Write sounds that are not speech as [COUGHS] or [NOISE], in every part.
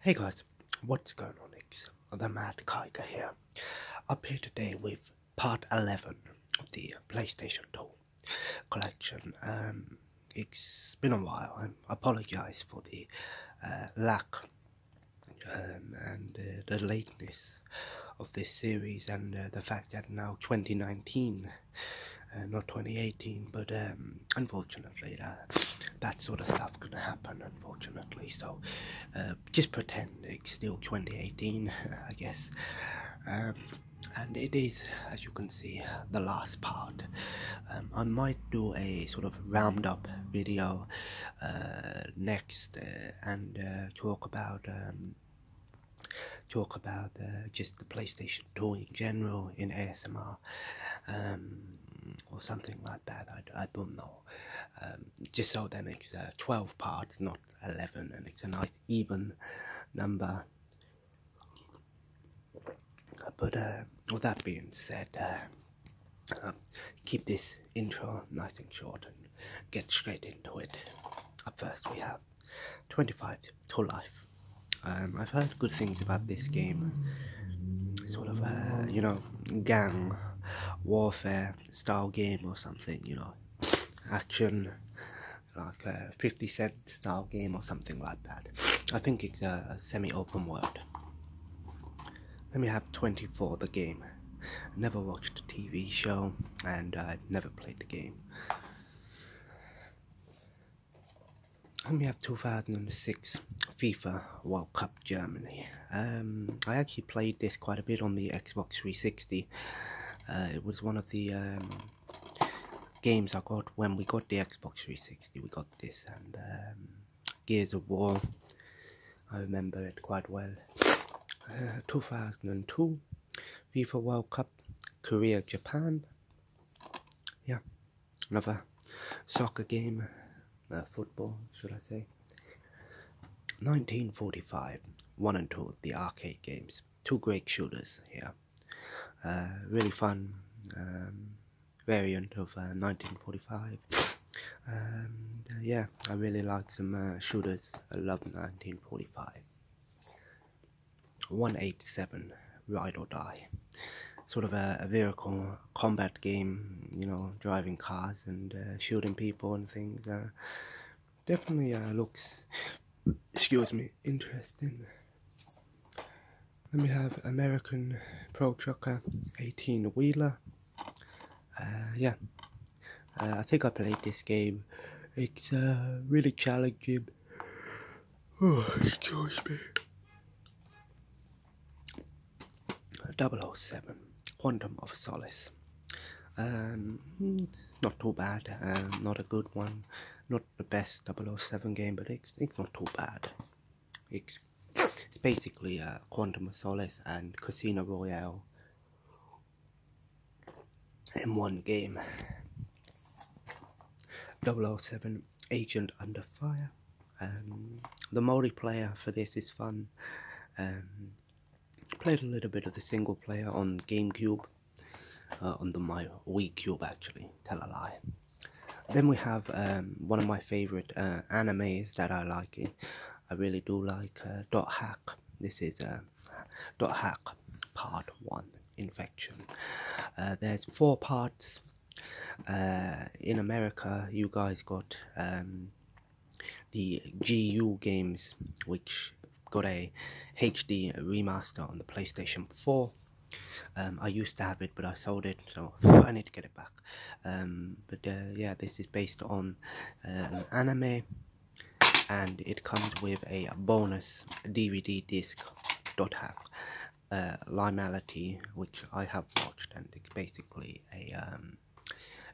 Hey guys, what's going on X? The Mad Kiker here. Up here today with part 11 of the PlayStation 2 collection. Um, it's been a while, I apologise for the uh, lack um, and uh, the lateness of this series and uh, the fact that now 2019, not 2018, but um, unfortunately, that, that sort of stuff can happen, unfortunately. So, uh, just pretend it's still 2018, [LAUGHS] I guess. Um, and it is, as you can see, the last part. Um, I might do a sort of roundup video uh, next uh, and talk about. Um, talk about just the PlayStation 2 general in ASMR um, or something like that. I, don't know. Um, just so that it's uh, 12 parts, not 11, and it's a nice even number. Uh, but uh, with that being said, um, keep this intro nice and short and get straight into it. At first, we have 25 to Life. I've heard good things about this game sort of a uh, you know gang warfare style game or something. You know, action like a uh, 50 cent style game or something like that. I think it's a, semi-open world. Let me have 24 the game. Never watched the TV show and I uh, never played the game. And we have 2006 FIFA World Cup Germany. Um, I actually played this quite a bit on the Xbox 360. Uh, it was one of the um, games I got when we got the Xbox 360. We got this and um, Gears of War. I remember it quite well. Uh, 2002 FIFA World Cup Korea Japan. Yeah. Another soccer game, uh, football, should I say? 1945, one and two, the arcade games. Two great shooters here. Uh, really fun um, variant of 1945. Uh, um, yeah, I really like some uh, shooters. I love 1945. 187, Ride or Die. Sort of a vehicle combat game, you know, driving cars and uh, shooting people and things. Uh, definitely uh, looks, excuse me, interesting. Let me have American Pro Trucker 18 Wheeler. yeah, I think I played this game. It's really challenging. [SIGHS] excuse me. 007 Quantum of Solace. Um, not too bad, um, not a good one, not the best 007 game, but it's, not too bad. It's, basically uh, Quantum of Solace and Casino Royale in one game. 007 Agent Under Fire. Um, the multiplayer for this is fun. Um, played a little bit of the single player on GameCube, uh, on the my Wii Cube actually. Tell a lie. Then we have um, one of my favorite uh, animes that I like. I really do like uh, Dot Hack. This is uh, Dot Hack Part One Infection. there's four parts uh, in America, you guys got um, the GU games, which got a HD remaster on the PlayStation 4. Um, I used to have it, but I sold it, so [LAUGHS] I need to get it back. Um, but uh, yeah, this is based on an anime, and it comes with a bonus DVD disc. Dot hack, uh, Limality, which I have watched, and it's basically a um,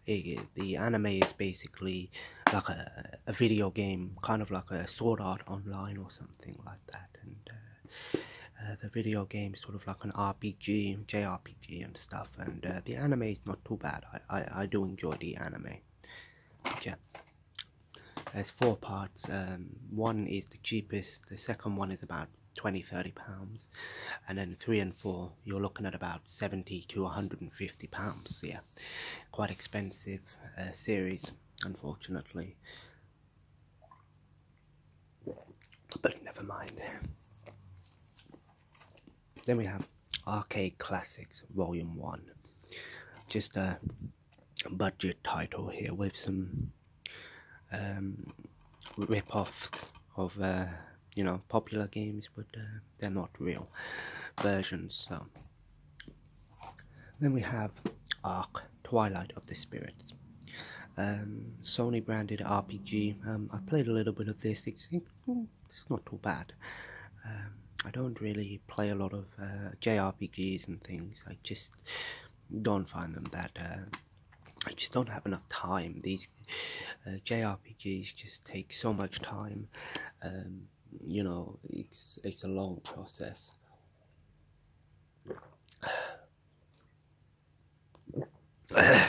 the anime is basically like a, a video game, kind of like a Sword Art Online or something like that, and. Uh, uh, the video game is sort of like an RPG, JRPG and stuff, and uh, the anime is not too bad. I, I, do enjoy the anime. But yeah. There's four parts. Um, one is the cheapest, the second one is about 20 30 pounds and then three and four you're looking at about 70 to 150 pounds yeah quite expensive uh, series unfortunately but never mind then we have arcade classics volume one just a budget title here with some um, rip-offs of uh, you know popular games, but uh, they're not real versions. So then we have Ark Twilight of the Spirits. Um, Sony branded RPG. Um, I played a little bit of this. It's, mm, not too bad. Um, I don't really play a lot of uh, JRPGs and things. I just don't find them that I just don't have enough time. These uh, JRPGs just take so much time. Um, you know, it's a long process. [SIGHS] yeah,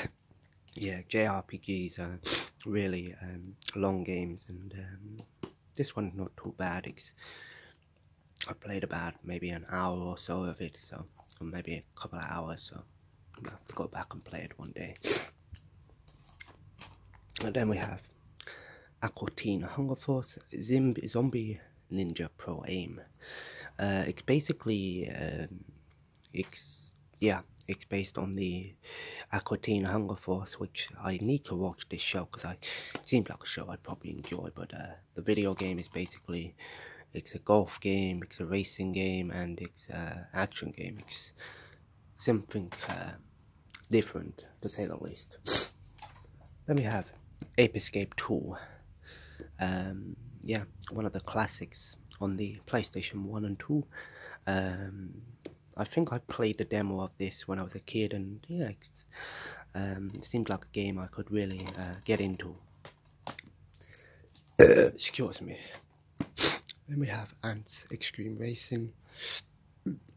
JRPGs are really um, long games, and um, this one's not too bad. I played about maybe an hour or so of it, so maybe a couple of hours. So I'm have to go back and play it one day. And then we have Aquatina Hunger Force Zimb Zombie Ninja Pro Aim. Uh, it's basically, um, it's, yeah, it's based on the Aquatina Hunger Force, which I need to watch this show because it seems like a show I'd probably enjoy, but uh, the video game is basically it's a golf game, it's a racing game, and it's an action game. It's something uh, different, to say the least. [SNIFFS] then we have Apescape 2. Um, yeah, one of the classics on the PlayStation 1 and 2. Um, I think I played the demo of this when I was a kid, and yeah, it um, seemed like a game I could really uh, get into. Excuse me. Then we have Ants Extreme Racing.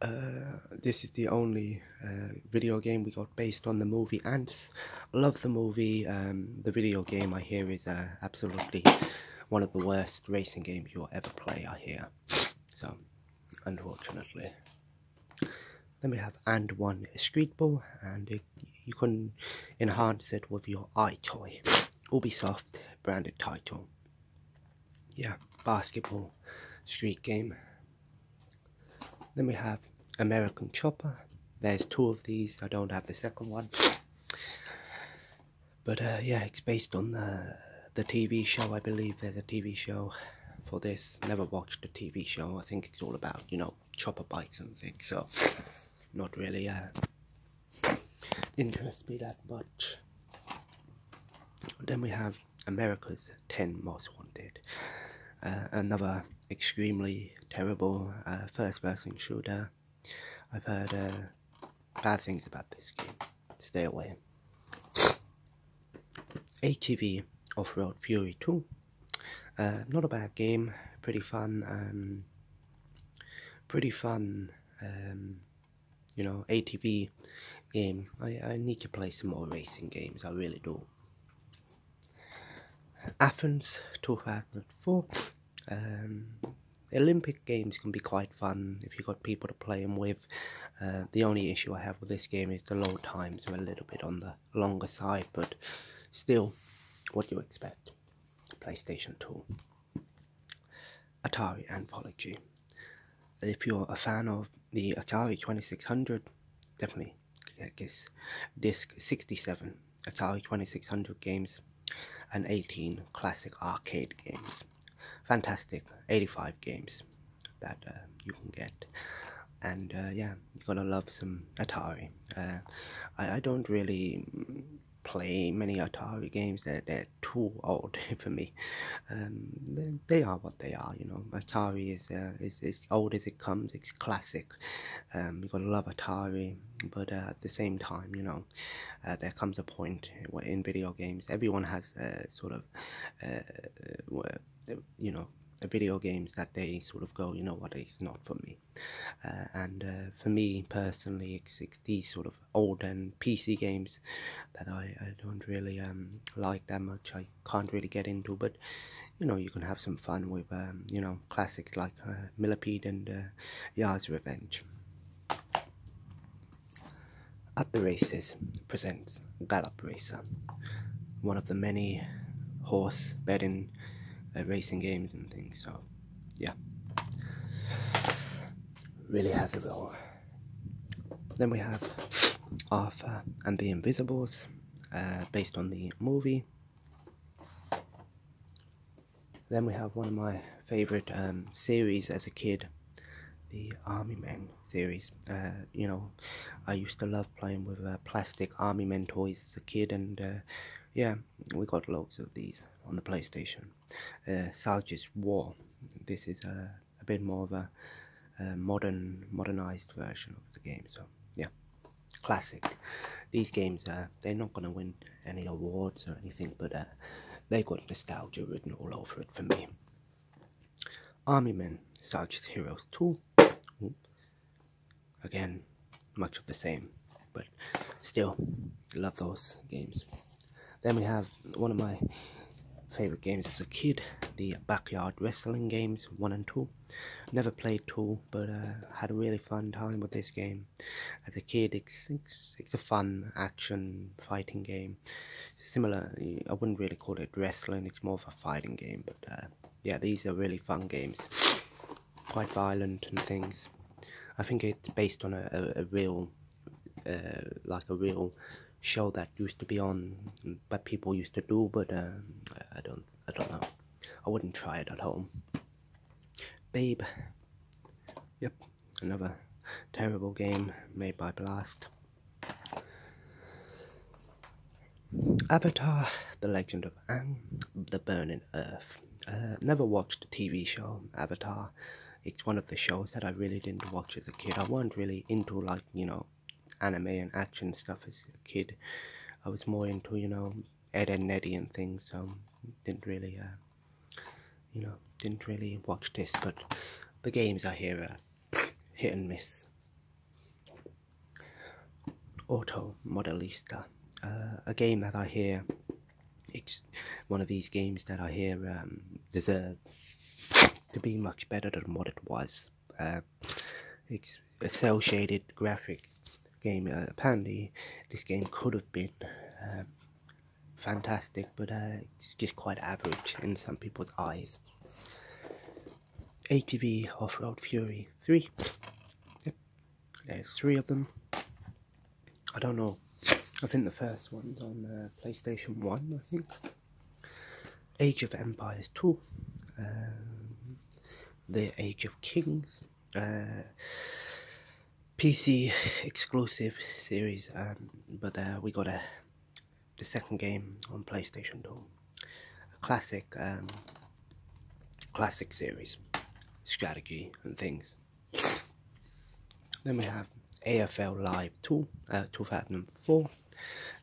Uh, this is the only uh, video game we got based on the movie Ants. I love the movie. Um, the video game I hear is uh, absolutely one of the worst racing games you'll ever play, I hear. So, unfortunately. Then we have And One Street Ball, and it you can enhance it with your eye iToy Ubisoft branded title. Yeah, basketball street game. Then we have American Chopper. There's two of these. I don't have the second one. But uh, yeah, it's based on the the TV show. I believe there's a TV show for this. Never watched the TV show. I think it's all about you know chopper bikes and things, so not really uh, interests me that much. Then we have America's 10 Most Wanted, uh, another extremely terrible uh, first person shooter. I've heard uh, bad things about this game. Stay away. ATV Off Road Fury 2 uh, not a bad game, pretty fun, um, pretty fun, um, you know, ATV game. I, I need to play some more racing games, I really do. Athens 2004. Um, Olympic games can be quite fun if you've got people to play them with. Uh, the only issue I have with this game is the load times are a little bit on the longer side, but still, what do you expect? PlayStation 2, Atari, and Polyg. If you're a fan of the Atari 2600, definitely get this disc 67, Atari 2600 games, and 18 classic arcade games. Fantastic 85 games that uh, you can get. And uh, yeah, you're gonna love some Atari. Uh, I, I don't really mm, play many Atari games they're, they're too [LAUGHS] old for me. Um, they, are what they are, you know. Atari is uh, is as old as it comes. It's classic. Um, you gotta love Atari, but uh, at the same time, you know, uh, there comes a point in video games. Everyone has uh, sort of, uh, uh you know, video games that they sort of go, you know what, it's not for me. Uh, and uh, for me personally, it's, these sort of old and PC games that I, don't really um, like that much. I can't really get into, but you know, you can have some fun with um, you know classics like uh, Millipede and Yars' Revenge. At the Races presents Gallop Racer, one of the many horse betting racing games and things. So yeah, really has a role. Then we have Arthur and the Invisibles, uh, based on the movie. Then we have one of my favorite um, series as a kid, the Army Men series. Uh, you know, I used to love playing with uh, plastic Army Men toys as a kid, and yeah, um, we got loads of these on the PlayStation. Uh, Salge's War. This is a, uh, a bit more of a, uh, modern, modernized version of the game. So yeah, classic. These games uh, they're not gonna win any awards or anything, but uh, they got nostalgia written all over it for me. Army Men, Sergeant Heroes too again, much of the same, but still, love those games. Then we have one of my favorite games as a kid, the backyard wrestling games one and two. Never played two, but uh, had a really fun time with this game. As a kid, it's, it's, it's a fun action fighting game. Similar, I wouldn't really call it wrestling. It's more of a fighting game, but uh, yeah, these are really fun games quite violent and things. I think it's based on a, a, real, uh, like a real show that used to be on, but people used to do, but uh, I don't, I don't know. I wouldn't try it at home. Babe. Yep, another terrible game made by Blast. Avatar, The Legend of Aang, The Burning earth. Uh, never watched a TV show Avatar. It's one of the shows that I really didn't watch as a kid. I wasn't really into like you know anime and action stuff as a kid. I was more into you know Ed and Eddie and things. So didn't really uh, you know didn't really watch this. But the games I hear are [SNIFFS] hit and miss. Auto Modelista, uh, a game that I hear it's one of these games that I hear um, deserve to be much better than what it was. Uh, it's a cell shaded graphic game. Uh, apparently, this game could have been uh, fantastic, but it's just quite average in some people's eyes. ATV Off Road Fury 3. There's three of them. I don't know. I think the first one's on uh, PlayStation 1, I think. Age of Empires 2. Um, the Age of Kings. Uh, PC exclusive series, um, but uh, we got a, the second game on PlayStation 2. classic, um, classic series, strategy and things. Then we have AFL Live 2, uh, 2004.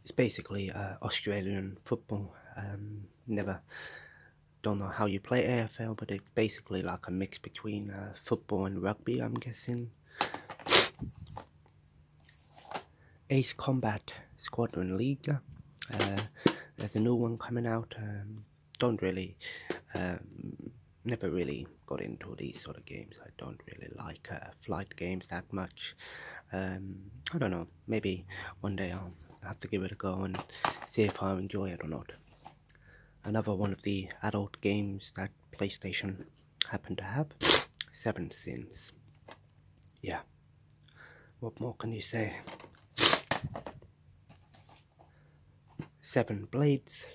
It's basically uh, Australian football. Um, never don't know how you play AFL, but it's basically like a mix between uh, football and rugby, I'm guessing. Ace Combat Squadron League. there's a new one coming out. Um, don't really, um, never really got into these sort of games. I don't really like uh, flight games that much. Um, I don't know. Maybe one day I'll have to give it a go and see if I enjoy it or not. Another one of the adult games that PlayStation happened to have, Seven Sins. Yeah. What more can you say? Seven Blades.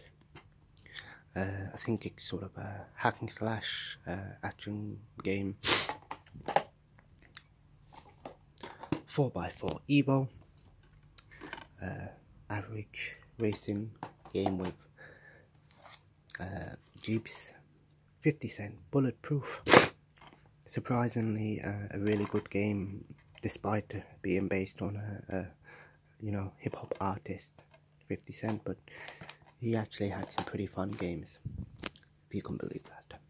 Uh, I think it's sort of a hacking slash uh, action game. 4x4 Evo. Uh, average racing game with Jeeps. 50 cent bulletproof. Surprisingly, a really good game despite being based on a, you know hip hop artist, 50 Cent, but he actually had some pretty fun games, if you can believe that.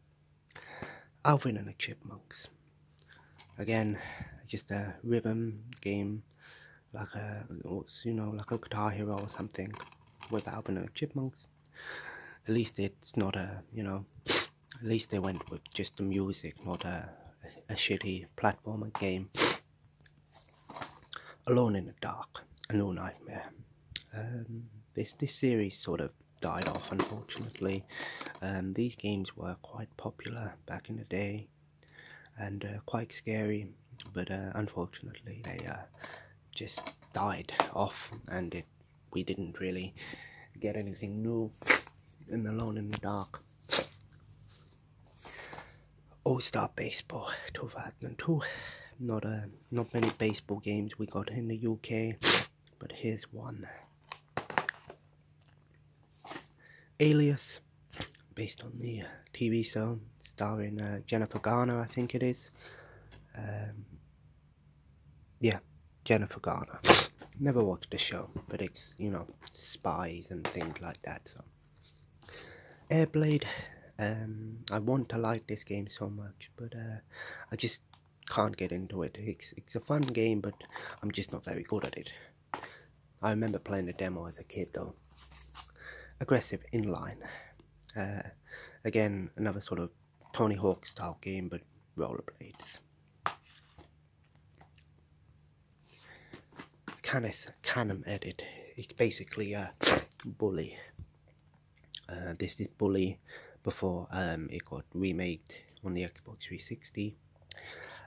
Alvin and the Chipmunks. Again, just a rhythm game, like a you know like a Guitar Hero or something, with Alvin and the Chipmunks. At least it's not a you know at least they went with just the music, not a, a shitty platformer game. [SNIFFS] Alone in the Dark, A New Nightmare. Um, this, this series sort of died off unfortunately. Um, these games were quite popular back in the day and uh, quite scary but uh, unfortunately they uh, just died off and we didn't really get anything new in Alone in the Dark. All-Star Baseball 2002. Not a uh, not many baseball games we got in the UK, but here's one. Alias, based on the TV show, starring uh, Jennifer Garner, I think it is. Um, yeah, Jennifer Garner. Never watched the show, but it's, you know, spies and things like that. So. Airblade, um, I want to like this game so much, but uh, I just can't get into it. It's, it's a fun game, but I'm just not very good at it. I remember playing the demo as a kid, though. Aggressive inline. Uh, again, another sort of Tony Hawk style game, but rollerblades. Canem Canem edit. It's basically a uh, bully. Uh, this is bully before um, it got remade on the Xbox 360.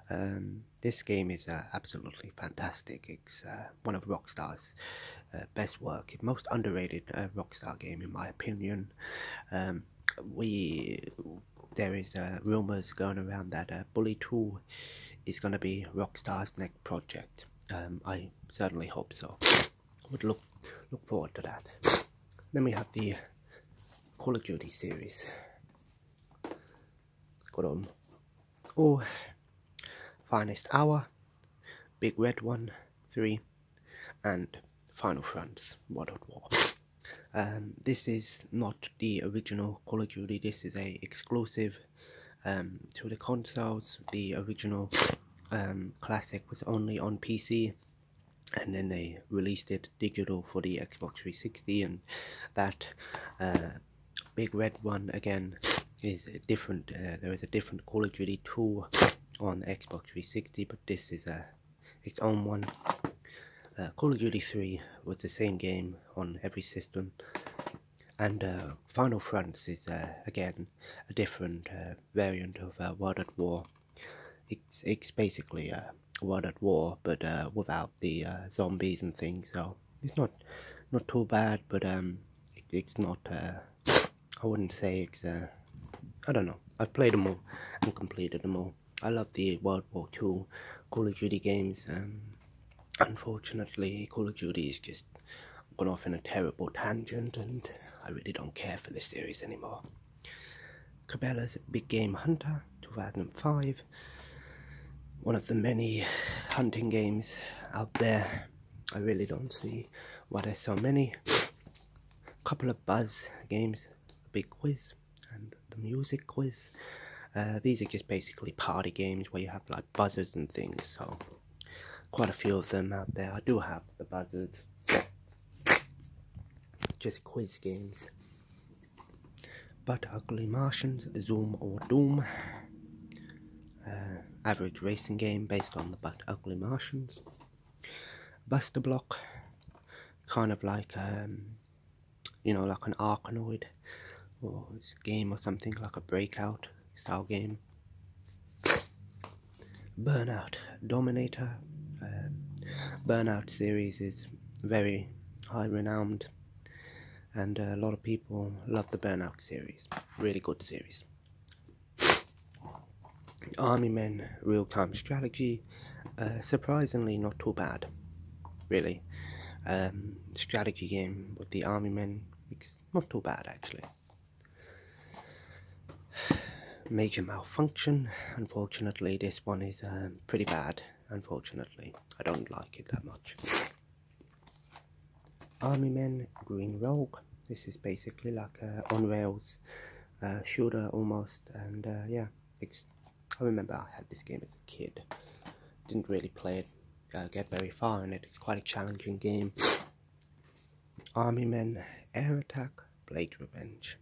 Um, this game is uh, absolutely fantastic. It's one of Rockstar's best work, most underrated Rockstar game in my opinion. Um, we there is uh, rumors going around that a uh, Bully Two is gonna be Rockstar's next project. Um, I certainly hope so. Would look look forward to that. Then we have the Call of Duty series. Got on. Oh, finest hour, big red one, three, and final fronts, World War. Um, this is not the original Call of Duty, this is a exclusive um, to the consoles. The original um, classic was only on PC and then they released it digital for the Xbox 360 and that uh, big red one again is different. Uh, there is a different Call of Duty 2 on Xbox 360 but this is a its own one. Uh, Call of Duty 3 was the same game on every system, and uh, Final Fronts is uh, again a different variant of World at War. It's it's basically a World at War, but without the zombies and things. So it's not not too bad, but um, it's not. I wouldn't say it's. I don't know. I've played them all and completed them all. I love the World War II Call of Duty games. Um, unfortunately, Call of Duty is just gone off in a terrible tangent, and I really don't care for this series anymore. Cabela's Big Game Hunter 2005, one of the many hunting games out there. I really don't see why there's so many. A Couple of Buzz games, Big Quiz, and the music quiz. Uh, these are just basically party games where you have like buzzers and things, so quite a few of them out there. I do have the buzzers. just quiz games. But Ugly Martians, Zoom or Doom, uh, average racing game based on the But Ugly Martians, Buster Block, kind of like um, you know, like an Arkanoid or this game or something, like a breakout style game. Burnout Dominator. Um, Burnout series is very high renowned, and a lot of people love the Burnout series. Really good series. Army Men Real Time Strategy uh, surprisingly not too bad, really. Um, strategy game with the army men, it's not too bad actually. Major malfunction, unfortunately, this one is uh, pretty bad, unfortunately. I don't like it that much. Army Men Green Rogue. This is basically like uh, on rails uh, shooter almost, and yeah, it's I remember I had this game as a kid. Didn't really play it, uh, get very far in it. It's quite a challenging game. [SNIFFS] Army Men, Air Attack, Blade Revenge.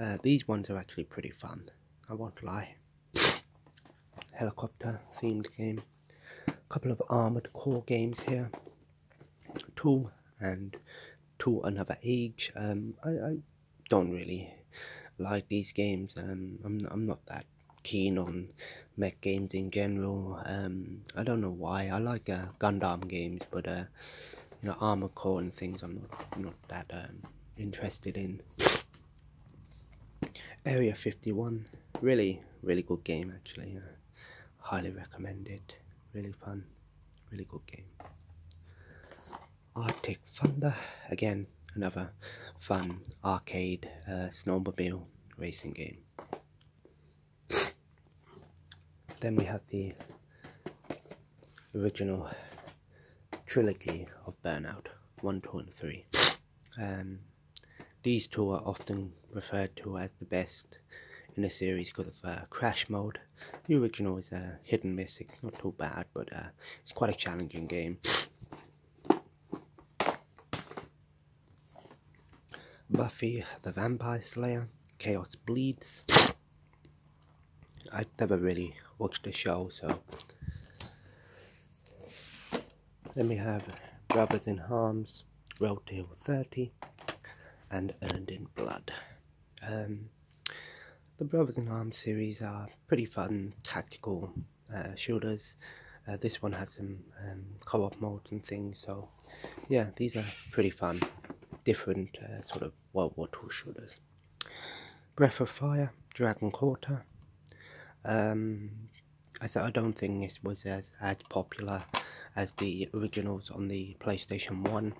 Uh, these ones are actually pretty fun. I won't lie. [SNIFFS] Helicopter themed game. A couple of Armored Core games here. Two and two. Another Age. Um, I don't really like these games. Um, I'm I'm not that keen on mech games in general. Um, I don't know why. I like uh, Gundam games, but uh, you know, Armor Core and things. I'm not not that um, interested in. Area 51, really, really good game actually. Uh, highly recommended. Really fun, really good game. Arctic Thunder. Again, another fun arcade uh, snowmobile racing game. then we have the original trilogy of Burnout 1, 2, and 3. Um, these two are often referred to as the best in the series because of uh, crash mode. The original is a uh, hit and miss, it's not too bad, but uh, it's quite a challenging game. Buffy the Vampire Slayer, Chaos Bleeds. I've never really watched the show, so. let me have Brothers in Arms, Road to 30, and Earned in Blood. Um, the Brothers in Arms series are pretty fun tactical uh, shooters. Uh, this one has some um, co-op mode and things, so yeah, these are pretty fun, different uh, sort of World War Two shooters. Breath of Fire, Dragon Quarter. Um, I, don't think this was as, as popular as the originals on the PlayStation 1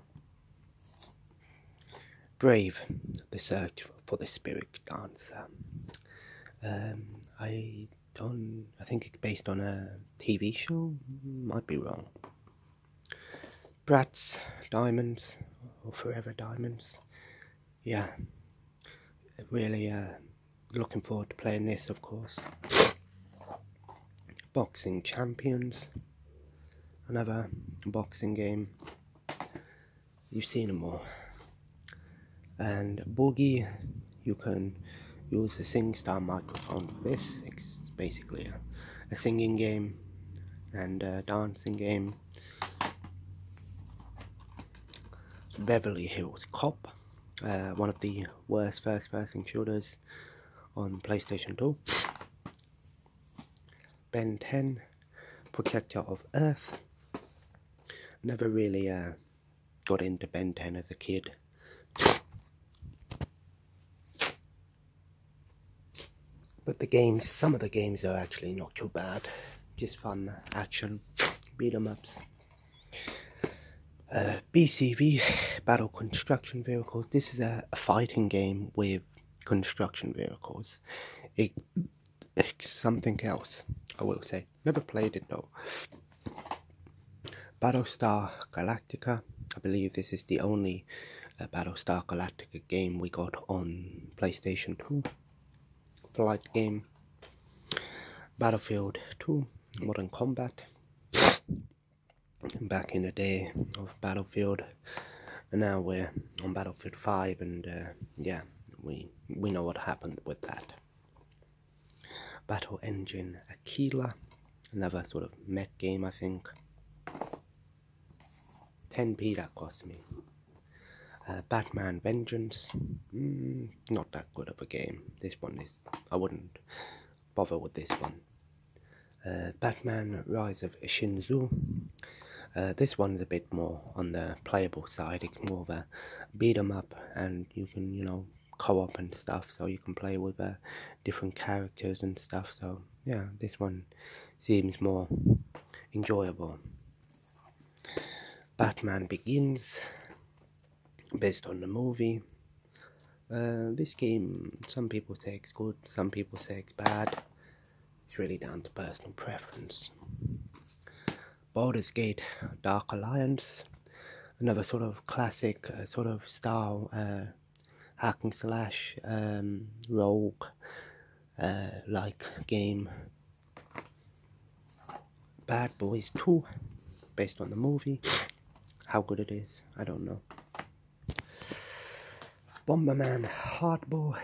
brave the search for the spirit dancer. Um, I don't. I think it's based on a TV show. Might be wrong. Bratz Diamonds or Forever Diamonds. Yeah, really uh, looking forward to playing this, of course. Boxing Champions, another boxing game you've seen them all. And Boogie, you can use the SingStar microphone for this. It's basically a, singing game and a dancing game. Beverly Hills Cop, uh, one of the worst first person shooters on PlayStation 2. Ben 10, Protector of Earth. Never really uh, got into Ben 10 as a kid. But the games, some of the games are actually not too bad. Just fun action, beat 'em ups. Uh, BCV, Battle Construction Vehicles. This is a, a fighting game with construction vehicles. It something else, I will say. Never played it though. Battlestar Galactica. I believe this is the only uh, Battlestar Galactica game we got on PlayStation 2. Flight game. Battlefield 2. Modern Combat. Back in the day of Battlefield. And now we're on Battlefield 5 and uh, yeah, we we know what happened with that. Battle Engine Aquila, another sort of mech game, I think. 10p that cost me. Uh, Batman Vengeance, hmm, not that good of a game. This one is, I wouldn't bother with this one. Uh, Batman Rise of Shinzu, uh, this one is a bit more on the playable side. It's more of a beat 'em up, and you can you know co-op and stuff, so you can play with uh, different characters and stuff. So yeah, this one seems more enjoyable. Batman Begins, based on the movie. Uh, this game, some people say it's good, some people say it's bad. It's really down to personal preference. Baldur's Gate Dark Alliance, another sort of classic uh, sort of style uh, hacking slash um, rogue uh, like game. Bad Boys 2, based on the movie. How good it is, I don't know. Bomberman Hardball.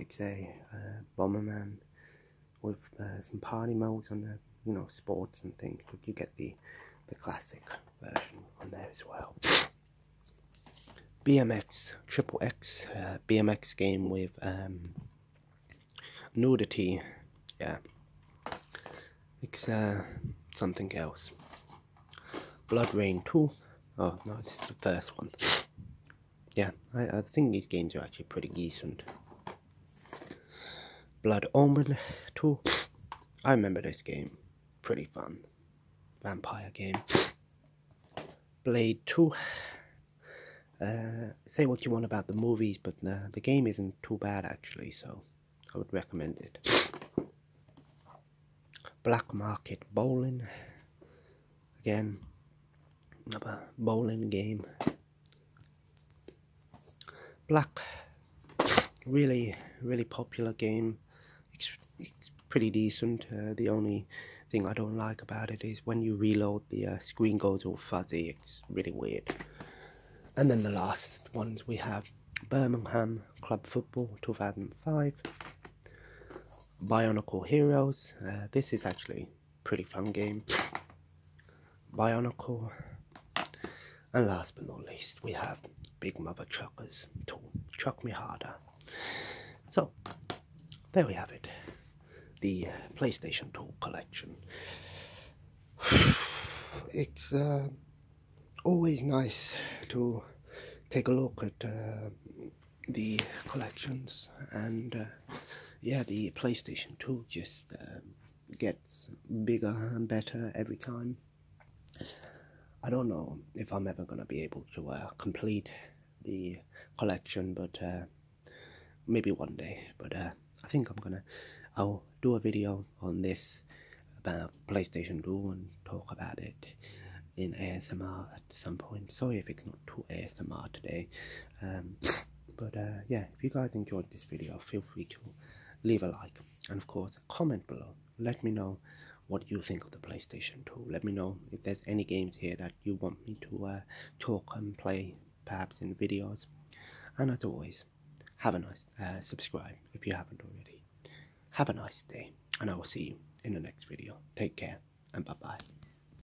It's a Bomberman with uh, some party modes on there, you know, sports and things. you get the the classic version on there as well. BMX Triple X uh, BMX game with um, nudity. Yeah, it's uh, something else. Blood Rain 2. Oh no, it's the first one yeah, I, I think these games are actually pretty decent. Blood Omen 2. I remember this game. Pretty fun. Vampire game. Blade 2. Uh, say what you want about the movies, but the, the game isn't too bad actually, so I would recommend it. Black Market Bowling again another bowling game. Black, really, really popular game. It's, pretty decent. Uh, the only thing I don't like about it is when you reload, the uh, screen goes all fuzzy. It's really weird. And then the last ones we have Birmingham Club Football 2005, Bionicle Heroes. Uh, this is actually pretty fun game. Bionicle. And last but not least, we have Big Mother Truckers Tool. Truck Me Harder. So, there we have it. The uh, PlayStation Tool Collection. [SIGHS] It's uh, always nice to take a look at uh, the collections and uh, yeah the PlayStation 2 just um, gets bigger and better every time. I don't know if I'm ever going to be able to uh, complete the collection but uh, maybe one day but I think I'm gonna I'll do a video on this about PlayStation 2 and talk about it in ASMR at some point. Sorry if it's not too ASMR today. Um, [COUGHS] but uh, yeah, if you guys enjoyed this video, feel free to leave a like and of course comment below. Let me know what you think of the PlayStation 2. Let me know if there's any games here that you want me to uh, talk and play perhaps in videos. And as always, have a nice uh, subscribe if you haven't already. Have a nice day and I will see you in the next video. Take care and bye bye.